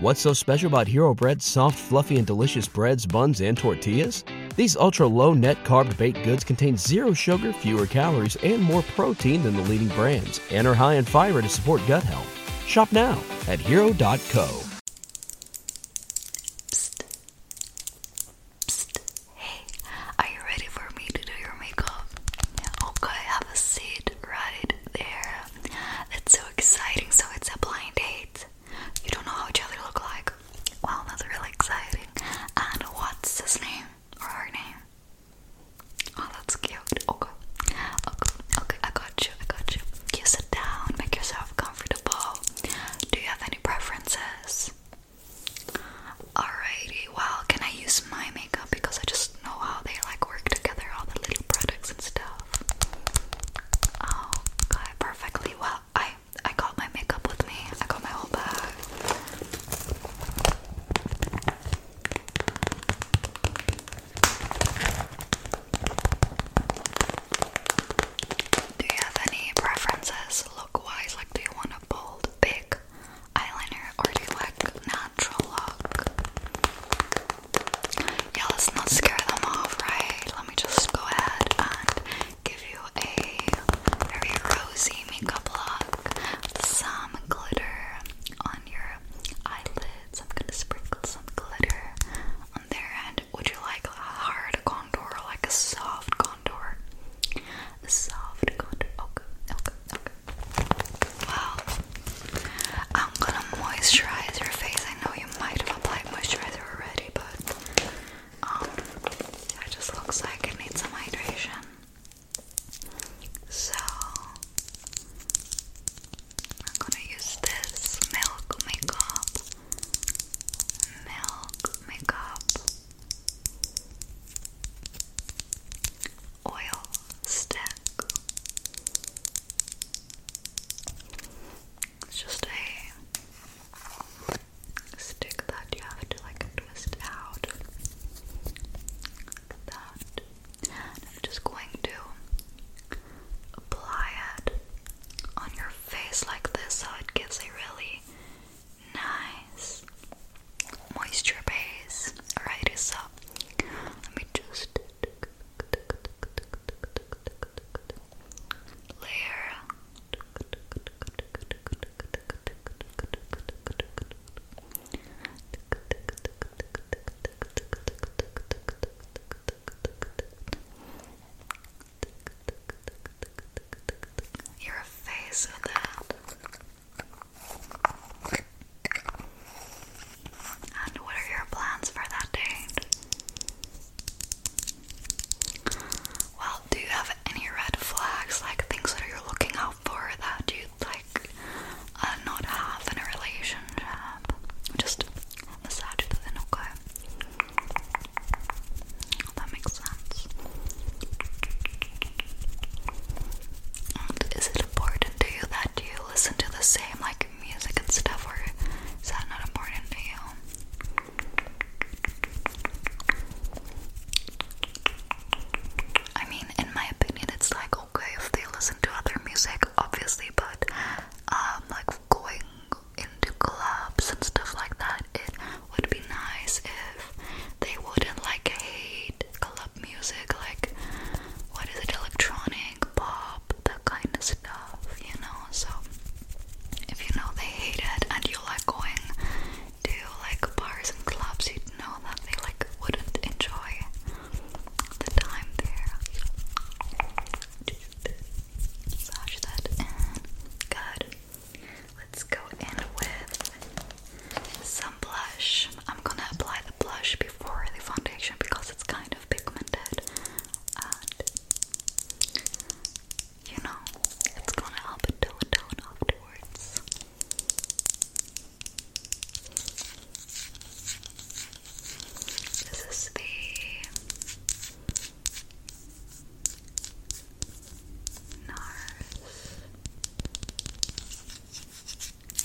What's so special about Hero Bread's soft, fluffy, and delicious breads, buns, and tortillas? These ultra low net carb baked goods contain zero sugar, fewer calories, and more protein than the leading brands, and are high in fiber to support gut health. Shop now at hero.co. Psst. Hey, are you ready for me to do your makeup? okay, have a seat right there. That's so exciting. So it's a blind date. You don't know how each other look like. Wow, that's really exciting. And what's his name or her name? Oh, that's cute. Okay, okay, okay. I got you. I got you. You sit down. Make yourself comfortable. Do you have any preferences? Alrighty. Well, can I use my makeup because I just know how they like work together, all the little products and stuff. Oh, got it perfectly. Well, I I got my makeup with me. I got my whole bag. Do you have any preferences look wise? Like, do you want a bold, big eyeliner or do you like natural look? Yeah, let's not scare them off, right? Let me just go ahead and give you a very rosy makeup look with some glitter on your eyelids. I'm gonna sprinkle some glitter on there. And would you like a hard contour or like a soft contour? A soft contour. Okay, okay, okay. Wow, I'm gonna moisturize your face. I know you might have applied moisturizer already, but um, it just looks like it needs some hydration. So I'm gonna use this milk makeup, milk makeup oil stack. It's just a stick that you have to like twist out. I'm just going to apply it on your face like this so it gives a really nice moisture base. Alrighty, so let me just you're a face with that and what are your plans for that date? Well, do you have any red flags, like things that you're looking out for that you like uh, not have in a relationship? Just massage the then That makes sense. is it important to you that you listen to the same like music and stuff, or is that not important to you? I mean, in my opinion, it's like okay if they listen to other music, obviously, but um, like going into clubs and stuff like that, it would be nice if they wouldn't like hate club music, like what is it, electronic, pop, that kind of stuff, you know. So if you know they hate it and you like going to like bars and clubs, you'd know that they like wouldn't enjoy the time there. just massage that Good. Let's go in with some blush. I'm gonna apply the blush before the foundation because it's kind of pigmented and you know, it's gonna help it tone down afterwards. This is the NARS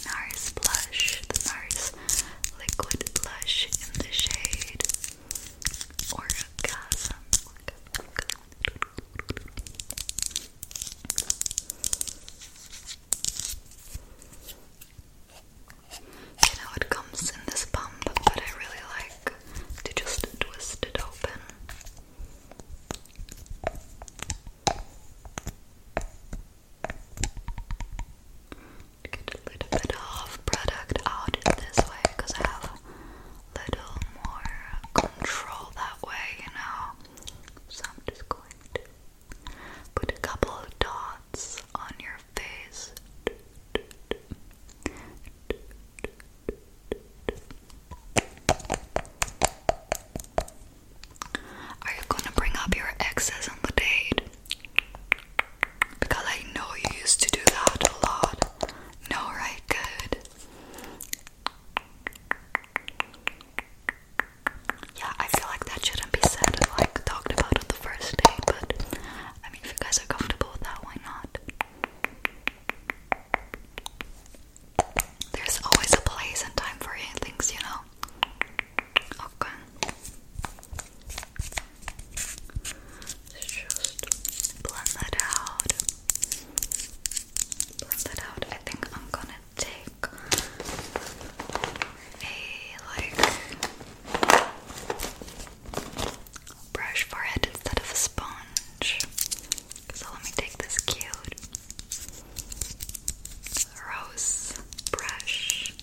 NARS blush, the NARS liquid blush in the shade Orgasm. You know, it comes in this pump, but I really like to just twist it open. Get a little bit of product out this way because I have a little more control that way, you know. So I'm just going to put a couple of dots on your face. Are you gonna bring up your exes on the date? Because I know you used to do that a lot. No, right? Good. Yeah, I feel like that shouldn't be said and like talked about on the first date, but I mean, if you guys are comfortable with that, why not? There's always a place and time for things, you know. Okay. Just blend that out. Blend that out. I think I'm gonna take a like brush for it instead of a sponge. So let me take this cute rose brush.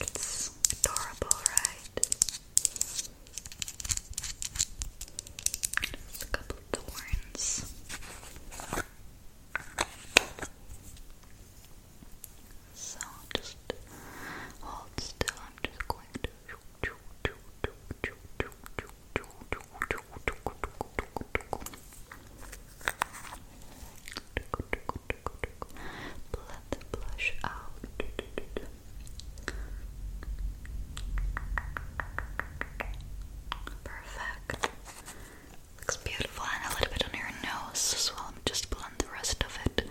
It's adorable, right? Just a couple of thorns. So just hold still. I'm just going to. Blend the blush out. Perfect. Looks beautiful, and a little bit on your nose as well. Just blend the rest of it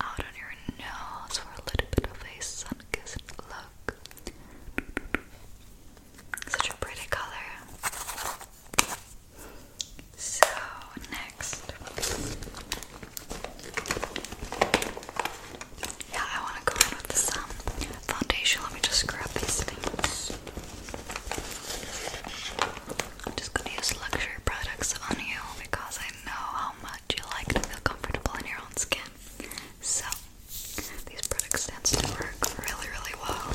out on your nose for a little bit of a sun kissed look. Such a pretty color. So, next. Yeah, I want to go in with some um, foundation. Let me just grab these things. I'm just going to use luxury products on you because I know how much you like to feel comfortable in your own skin. So, these products tend to work really, really well.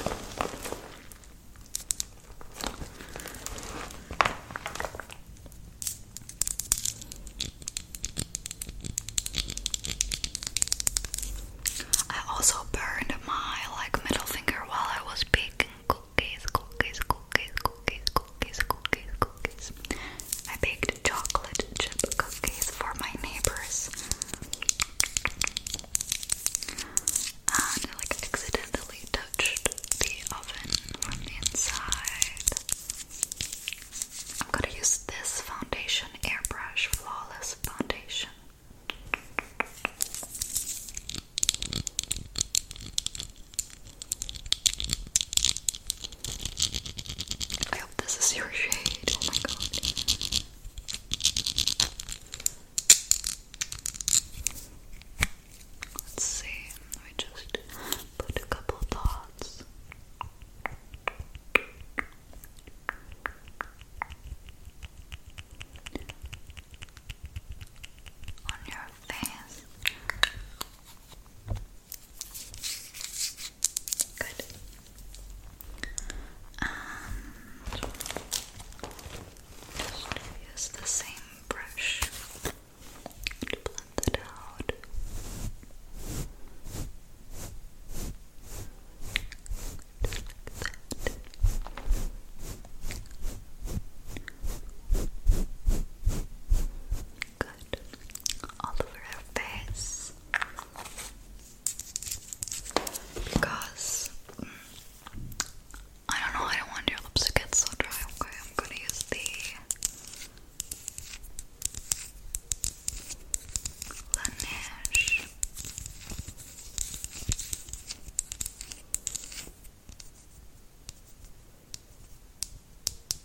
I also burned my like middle finger while I was baking cookies, cookies, cookies, cookies, cookies, cookies, cookies. I baked chocolate chip cookies for my neighbors. And like accidentally touched the oven from the inside. I'm gonna use this foundation airbrush flawless foundation. I hope this is your shade. Oh my god. Let's see. Let just put a couple dots. On your face, Good. And um, just use the same brush to blend it out. Good. All over her face. Because mm, I don't know, I don't want your lips to get so dry. Okay, I'm gonna use the Laneige.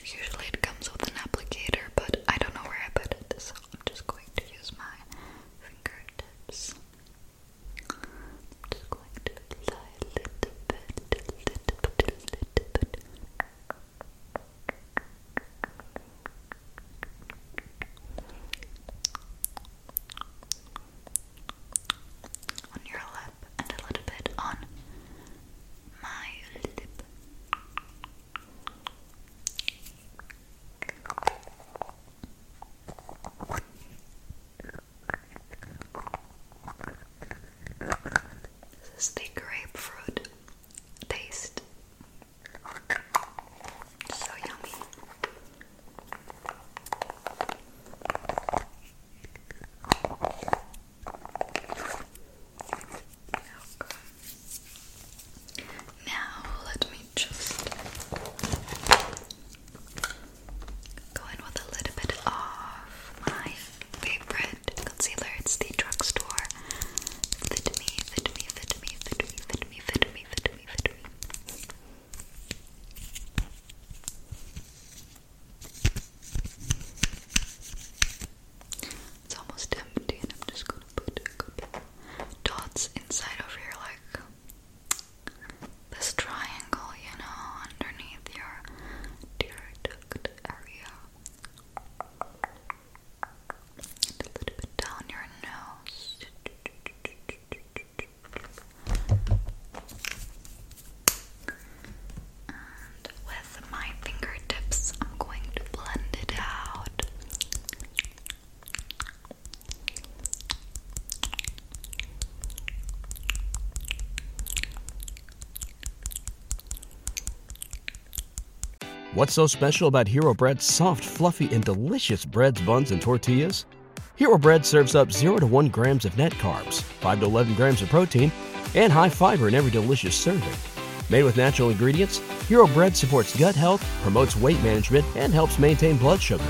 Usually it comes with an applicator, but I don't know where I put it, so I'm just going to use my fingertips. I'm just going to apply a little bit, a little bit, a little bit. On your lip and a little bit on my lip. This is the grapefruit taste. So yummy. Now let me just go in with a little bit of my favorite concealer. It's the drugstore. Fit fit me, fit me, fit me, fit me, fit me, fit me, fit me. Fit me. It's almost empty, and I'm just gonna put dots inside of here, like this triangle, you know, underneath your tear duct area. And a little bit down your nose with my fingertips, I'm going to blend it out. What's so special about Hero Bread's soft, fluffy, and delicious breads, buns, and tortillas? Hero Bread serves up 0 to 1 grams of net carbs 5 to 11 grams of protein, and high fiber in every delicious serving. Made with natural ingredients, Hero Bread supports gut health, promotes weight management, and helps maintain blood sugar.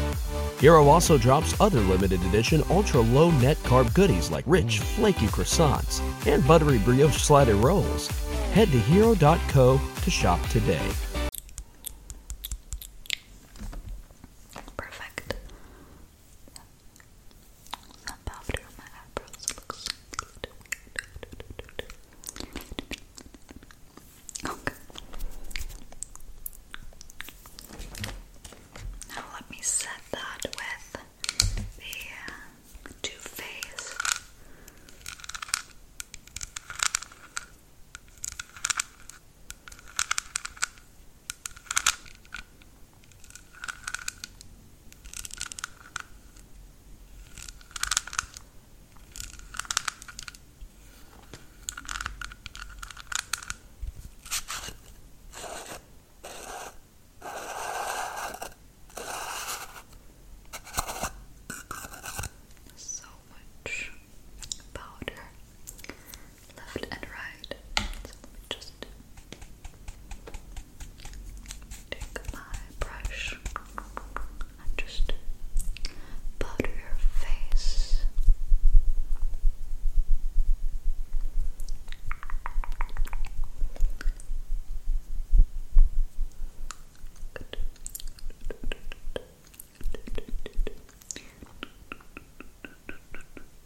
Hero also drops other limited edition ultra low net carb goodies like rich, flaky croissants and buttery brioche slider rolls. Head to hero.co to shop today. Perfect some powder on my eyebrows. It looks Okay. Now let me set that with the uh, Too Faced. So much powder left and right. So let me just take my brush and just powder your face.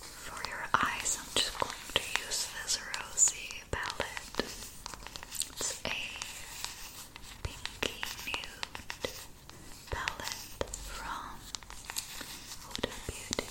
For your eyes, I'm just going to use this rosy palette. It's a pinky nude palette from Huda Beauty.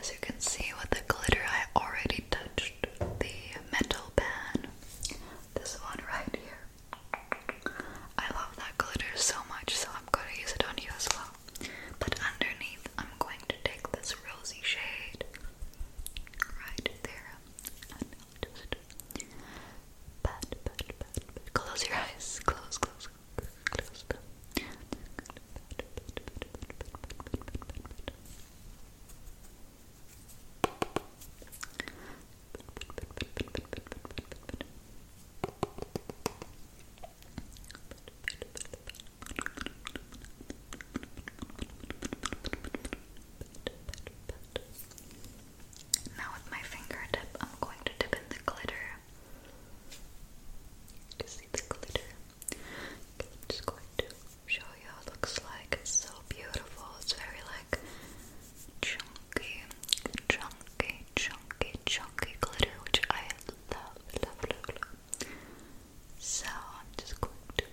as you can see with the glitter, I already touched the metal pan. This one right here. I love that glitter so much, so I'm going to use it on you as well. But underneath, I'm going to take this rosy shade right there Close your eyes. Close, close, close now with my fingertip, I'm going to dip in the glitter. see the glitter. I'm just going to show you how it looks like. It's so beautiful. It's very like chunky, chunky, chunky, chunky glitter, which I love, love, love, love. So I'm just going to.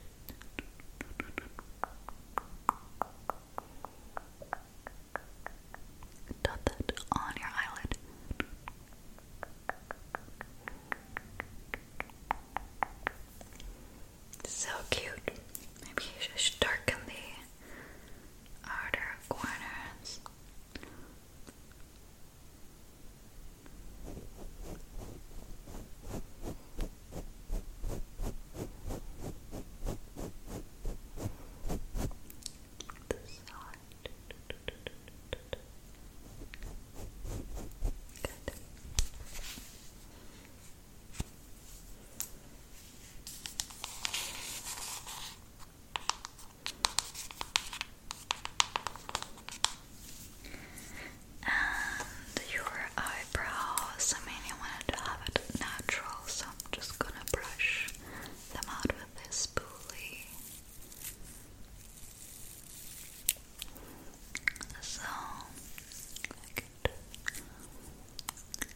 Dot that on your eyelid. So cute. Maybe you darken the outer corners. The side. Good. And your eyebrows. I mean, I wanted to have it natural, so I'm just gonna brush them out with this spoolie. So,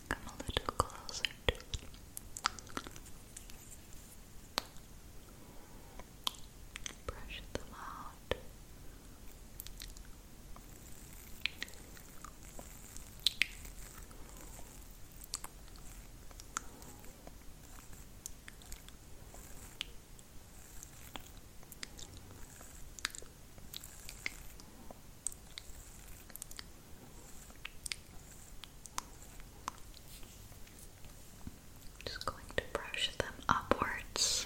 come a little closer to Brush them out. Just going to brush them upwards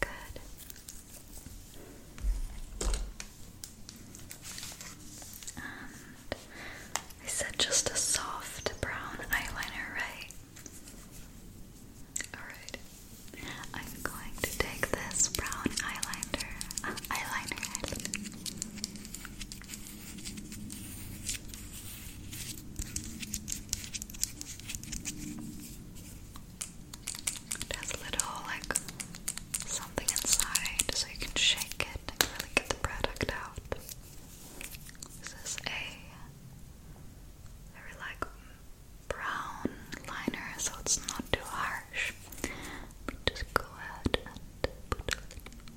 Good. Um, I said just a soft brown eyeliner, right? Alright. I'm going to take this brown eyeliner, eyeliner. It has a little like something inside so you can shake it and really get the product out. This is a very like brown liner so it's not too harsh. just go ahead and put a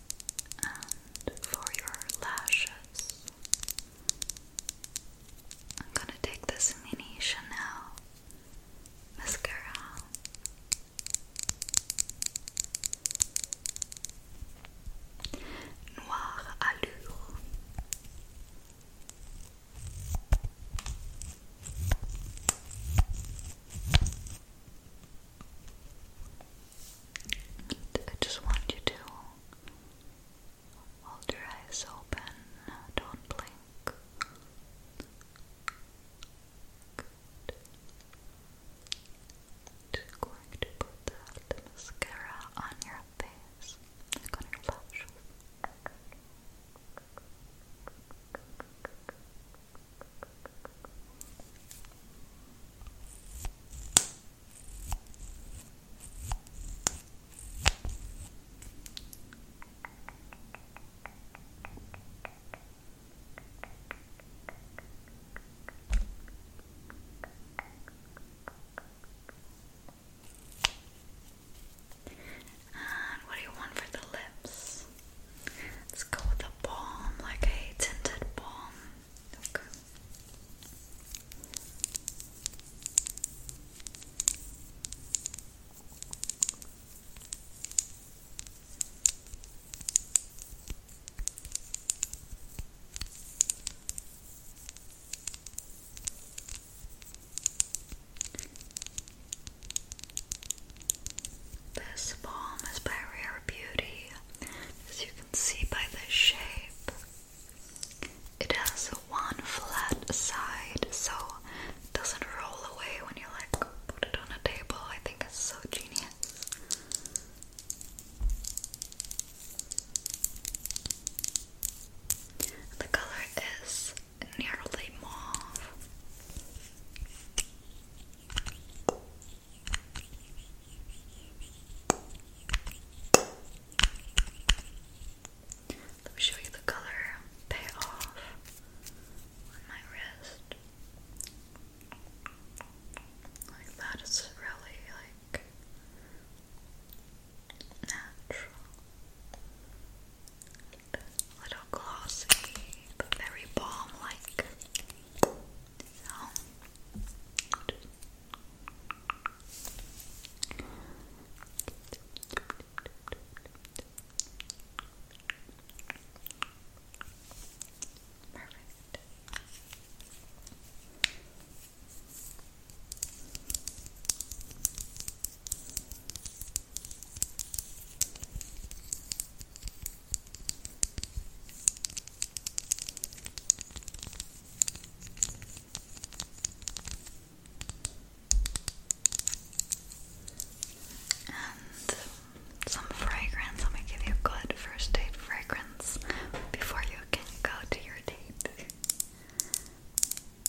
And for your lashes, I'm gonna take this mini Chanel mascara. Noir Allure. I just want you to hold your eyes open, don't blink. Good. Just going to put that mascara on your face, on your lashes. And what do you want for the lips? Let's go with a balm, like a tinted balm. This balm is barrier Beauty. As you can see by the shape, it has one flat side, so it doesn't roll away when you like put it on a table. I think it's so genius. The color is nearly mauve. Let me show you the color payoff on my wrist. Like that, it's really like natural. little glossy, but very balm like sound. Perfect. And some fragrance. I'm give you a good first date fragrance before you can go to your date.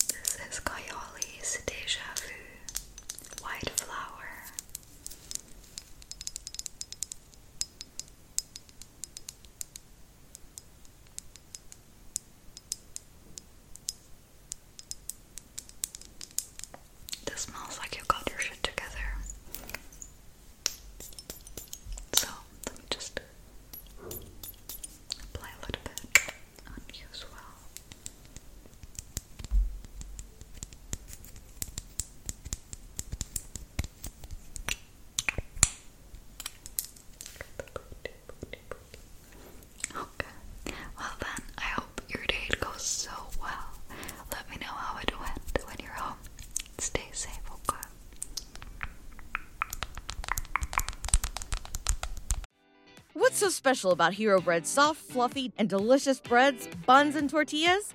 This is Coyole's Deja Vu White Flower. This smells like you got your shit together. So let me just apply a little bit on you as well. Okay. Well then, I hope your date goes so well. Let me know how it went when you're home. Stay safe, okay? What's so special about Hero Bread's soft, fluffy, and delicious breads, buns, and tortillas?